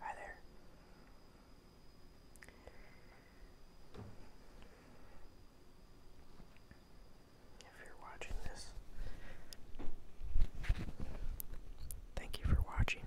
Hi there. If you're watching this, thank you for watching.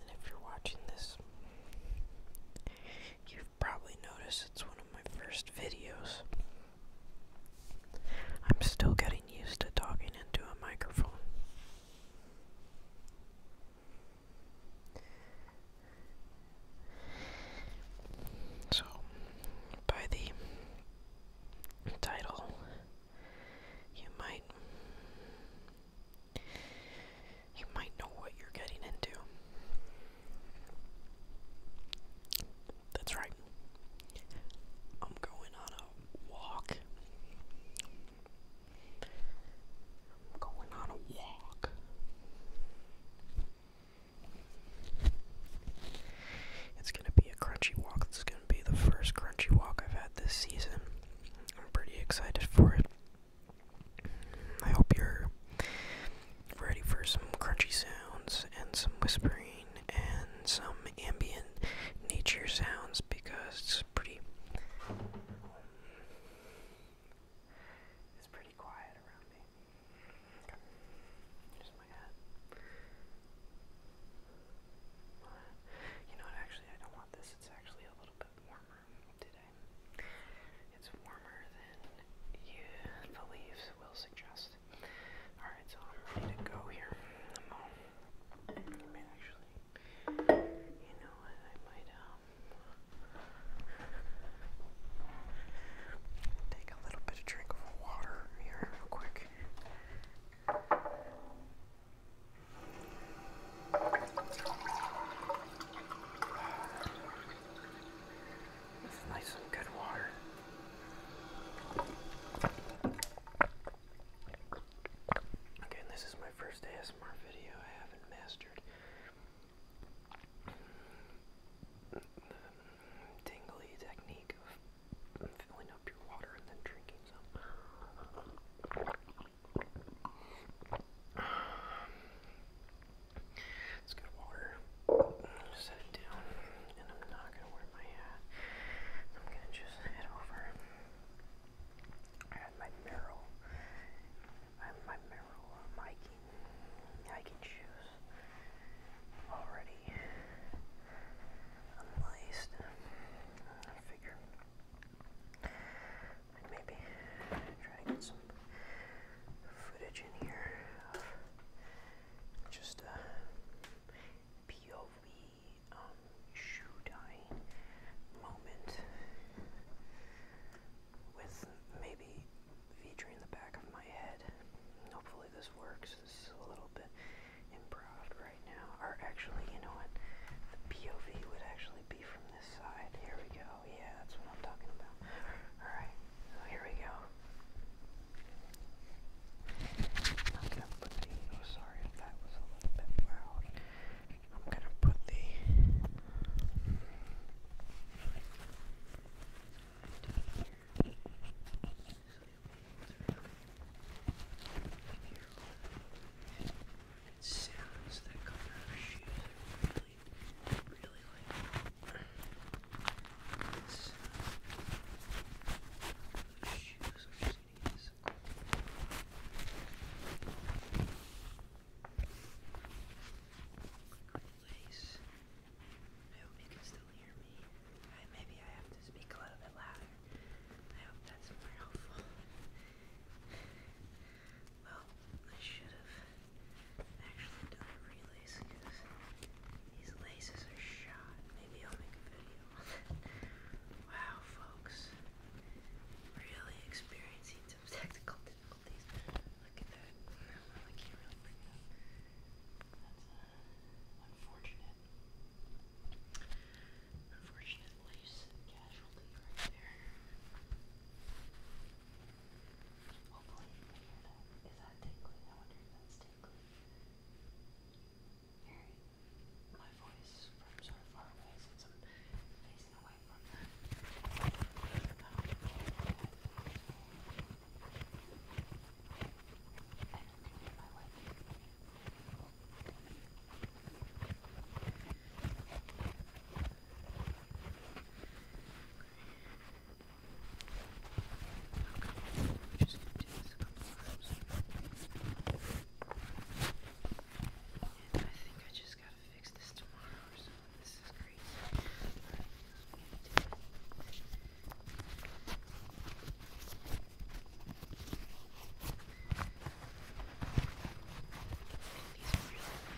And if you're watching this, you've probably noticed it's one of my first videos. I'm still getting used to talking into a microphone. So, by the title, you might you might know what you're getting into. That's right. I'm going on a walk. going on a walk. It's going to be a crunchy walk. This is going to be the first crunchy walk I've had this season. I'm pretty excited for it. I hope you're ready for some crunchy sounds and some whispering and some ambient nature sounds because it's pretty it's pretty quiet around me. Here's my hat. You know what, actually I don't want this. It's actually a little bit warmer today today. It's warmer than you believe will suggest. Alright, so I'm ready to go here. you know what, I might, um, take a little bit of drink of water here real quick. It's nice and good water. Okay, this is my first ASMR video I haven't mastered. The tingly technique of filling up your water and then drinking some. Let's water. Set it down. And I'm not going to wear my hat. I'm going to just head over. I have my Merrill. my Merrill um, hiking, hiking shoes already unlaced. figure maybe try get some footage in here just a uh, POV um, shoe moment with maybe in the back of my head. Hopefully this works. This is a little bit improv right now. Or actually, you know what? The POV would actually be from this side. Here we go. Oh, yeah, that's what I'm talking about. Alright, here we go. I'm gonna put the. Oh, sorry if that was a little bit loud. I'm gonna put the. Sounds that come out shoes really, I hope you can still hear me. maybe I have to speak a little bit louder. I hope that's more helpful. Well, I should have actually done a relays because these laces are shot. Maybe I'll make a video Wow, folks. Really experiencing some technical difficulties. Look at that. I can't really bring up. That's uh, unfortunate. Unfortunate lace casualty right there. Hopefully you can hear that. Is that tingling? I wonder if that's tingling. Hearing my voice from so sort of far away since I'm facing away from that. I don't think in my way. I Okay, just gonna do this a couple times. And I think I just gotta fix this tomorrow or something. This is crazy. Alright, I'm gonna do it. And these are really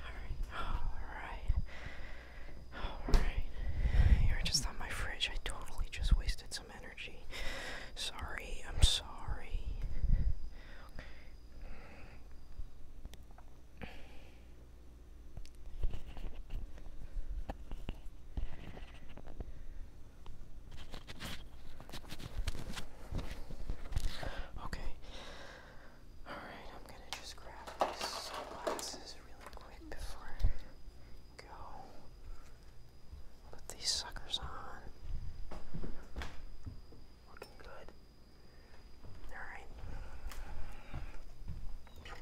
Alright. Alright. You're just on my fridge. I totally just wasted some energy. Sorry. I'm sorry. Okay. Alright, I'm gonna just grab these sunglasses really quick before I go. Put these suckers on. Looking good.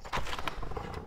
Alright.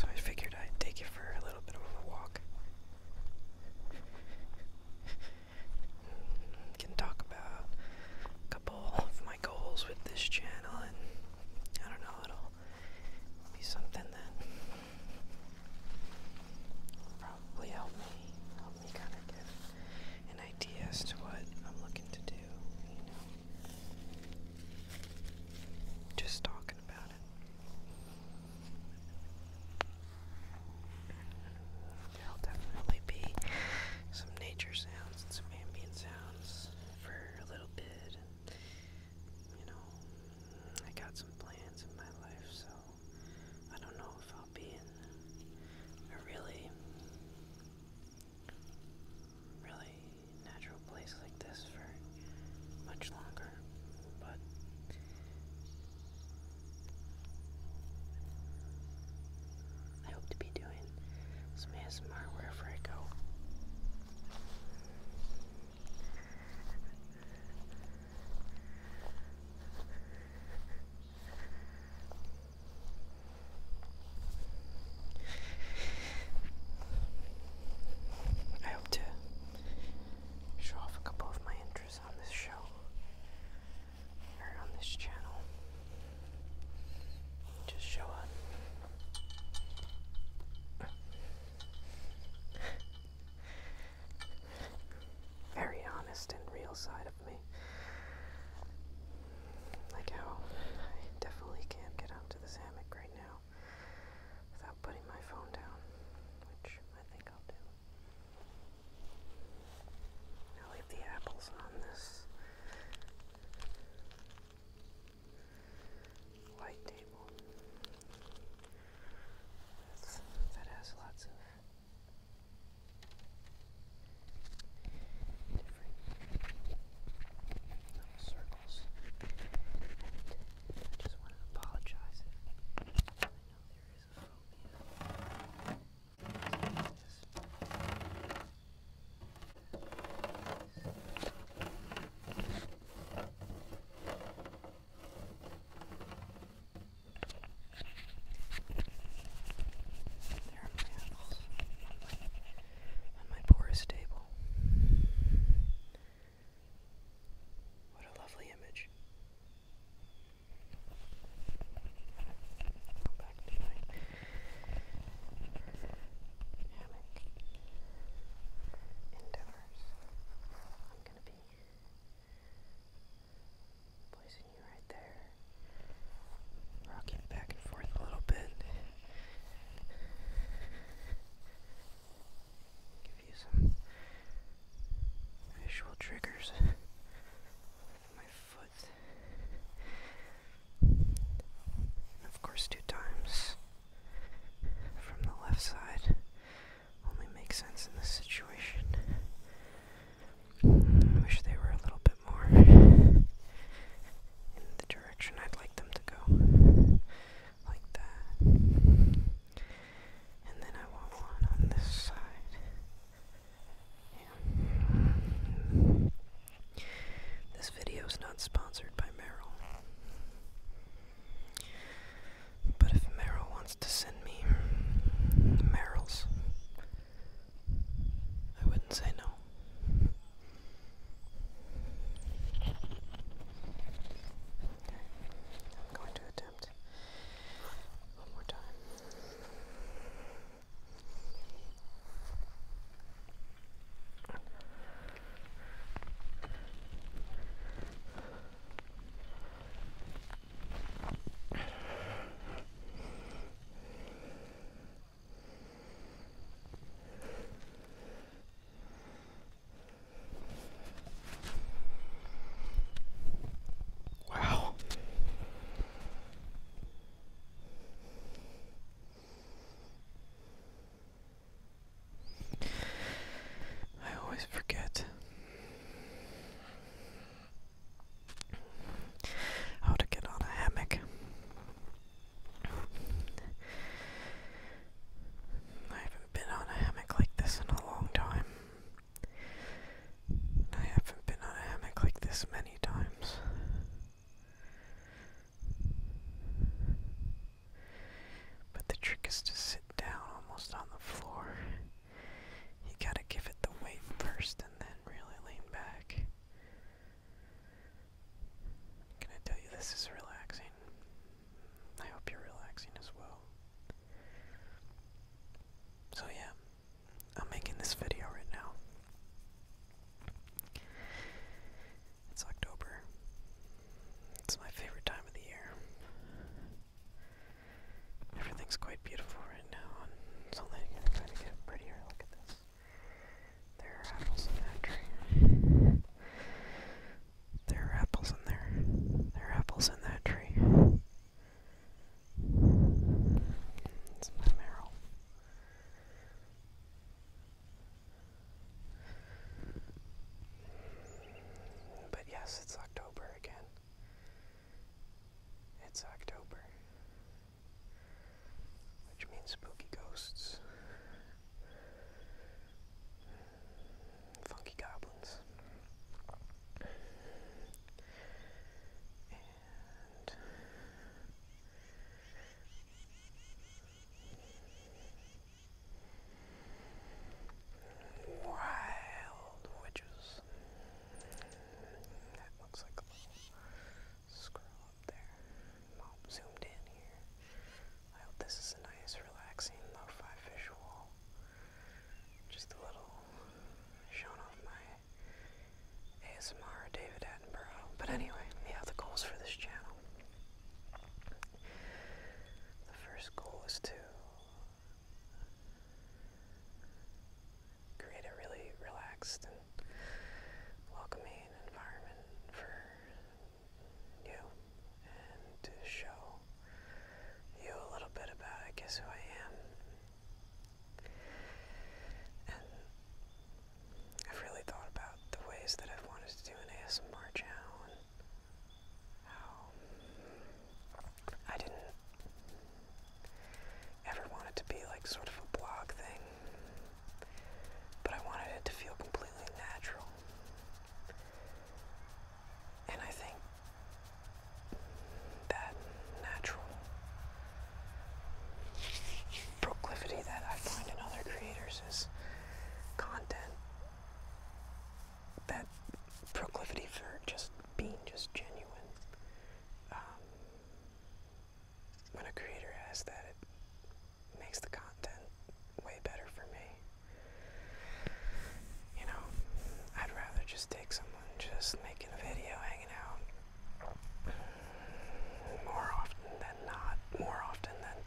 So I figured I'd take you for a little bit of a walk. Can talk about a couple of my goals with this channel, and I don't know, it'll be something that probably help me help me kind of get an idea as to what I'm looking to do, Just talking about it. There'll definitely be some nature sounds and some ambient sounds for a little bit. You know, I got some plans in my life, so I don't know if I'll be in a really, really natural place like this for much longer, but I hope to be doing some ASMR wherever I go. I hope to show off a couple of my interests on this show or on this channel. Just show up very honest and real side of me. Like how I definitely can't get up this hammock right now without putting my phone down, which I think I'll do. I'll leave the apples on this white table that has lots of different little circles. I just want to apologize I know there is a phobia. There are my on my porous table. What a lovely image. Go back to my endeavors. I'm going to be Placing you right there. Rocking back and forth a little bit. Give you some visual triggers my foot. of course, two times from the left side only makes sense in this situation. I wish they were a little bit more in the direction I'd like them to go. Like that. And then I want one on this side. This video is not sponsored by Merrill. But if Meryl wants to send me Meryl's, I wouldn't say no. I'm going to attempt one more time. Wow. I always forget how to get on a hammock. I haven't been on a hammock like this in a long time. I haven't been on a hammock like this many times. But the trick is to sit down almost on the floor you gotta give it the weight first and then really lean back. Can I tell you this is relaxing? I hope you're relaxing as well. So, yeah, I'm making this video right now. It's October. It's my favorite time of the year. Everything's quite beautiful right now, it's only going to get prettier. Look at this. There are apples in that tree. There are apples in there. There are apples in that tree. It's my marrow. But yes, it's October again. It's October, which means spooky ghosts, funky goblins, Wild witches. That looks like a little scroll up there. Mom zoomed in here. I hope this is a nice, relaxing, lo visual. Just a little showing off my ASMR David Attenborough. But anyway, yeah, the goals for this channel. The first goal is to create a really relaxed and welcoming environment for you and to show you a little bit about I guess who I am. And I've really thought about the ways that I've wanted to do an ASMR channel and I didn't ever want it to be like sort of a blog thing, but I wanted it to feel completely natural. And I think that natural proclivity that I find in other creators is content that proclivity for just being just genuine. Um, when a creator has that, it makes the content way better for me. You know, I'd rather just take someone just making a video, hanging out, more often than not, more often than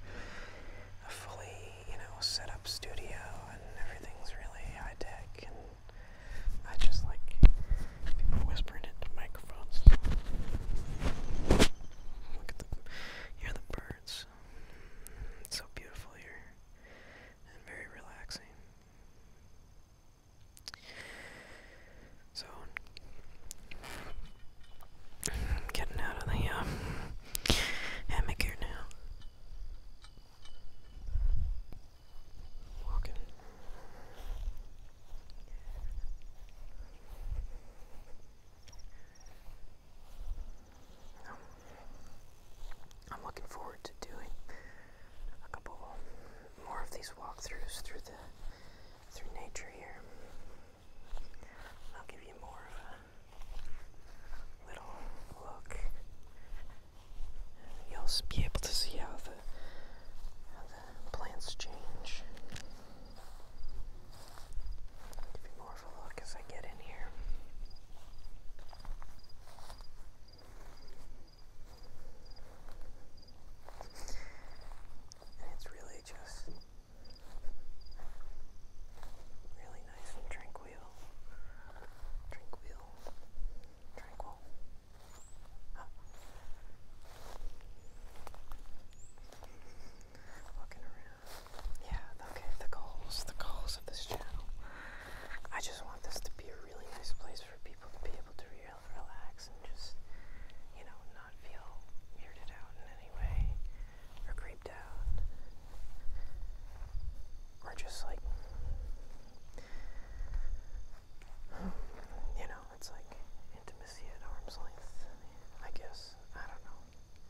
fully you know, set up studio and everything's really high tech and I just like people whispering into microphones. Look at the hear the birds. It's so beautiful here and very relaxing. So getting out of the uh, hammock here now. I'm looking forward to doing a couple more of these walkthroughs through the through nature here. I'll give you more of little look. you'll be able to see how the plants change. give you more of a look as I get in here. And it's really just really nice and tranquil. Tranquil. Tranquil. Tranquil. Yeah, okay, the goals, the goals of this channel. I just want this to be a really nice place for people to be able to relax and just, you know, not feel weirded out in any way or creeped out or just like you know, it's like intimacy at arm's length. I guess I don't know.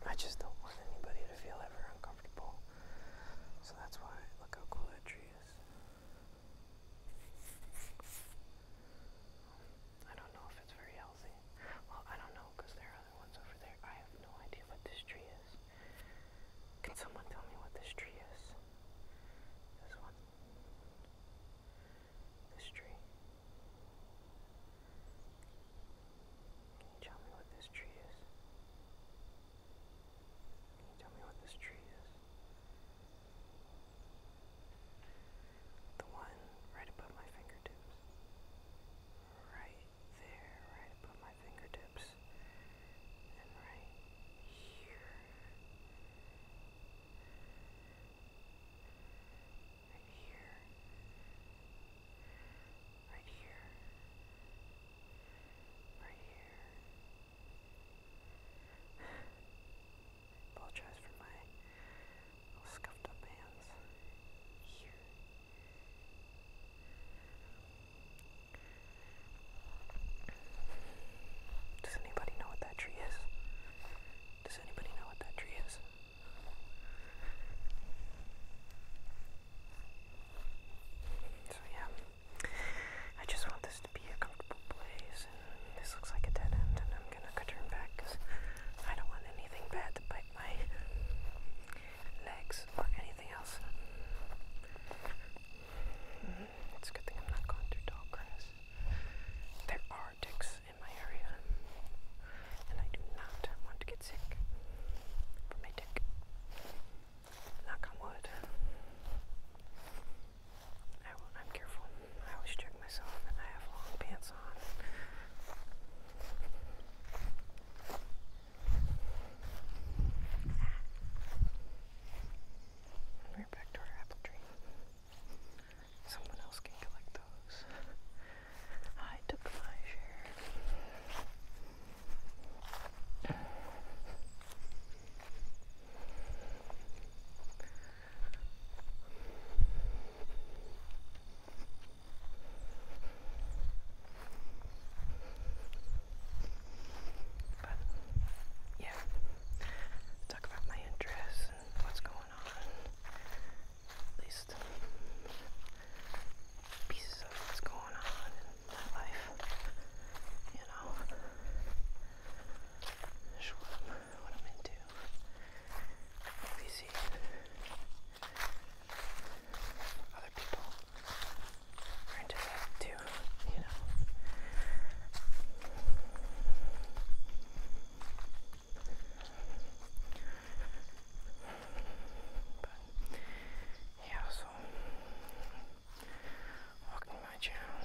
I just don't want anybody to feel ever uncomfortable. So that's why look how cool that tree is. I don't know if it's very healthy. Well, I don't know because there are other ones over there. I have no idea what this tree is. Can someone tell me what this tree is? This one. This tree. Can you tell me what this tree is? Can you tell me what this tree is? The one right above my fingertips. Right there, right above my fingertips, and right here. Right here. Right here. Right here. apologize for my scuffed up hands. Here. Does anybody know what that tree is? Does anybody know what that tree is? So yeah, I just want this to be a comfortable place, this looks like a dead end, and I'm gonna turn back I don't want anything bad to bite my legs or anything else. Mm-hmm. It's good thing I'm not going through tall grass. There are ticks in my area, and I do not want to get sick from a tick. Knock on wood. I will, I'm careful. I always check myself, and I have long pants on. We're back to our apple tree. Someone else can collect those. I took my share. But yeah, talk about my interests and what's going on. At least pieces of what's going on in my life. You know, sure what I'm into. If other people are into that too, you know. But yeah, so welcome to my channel.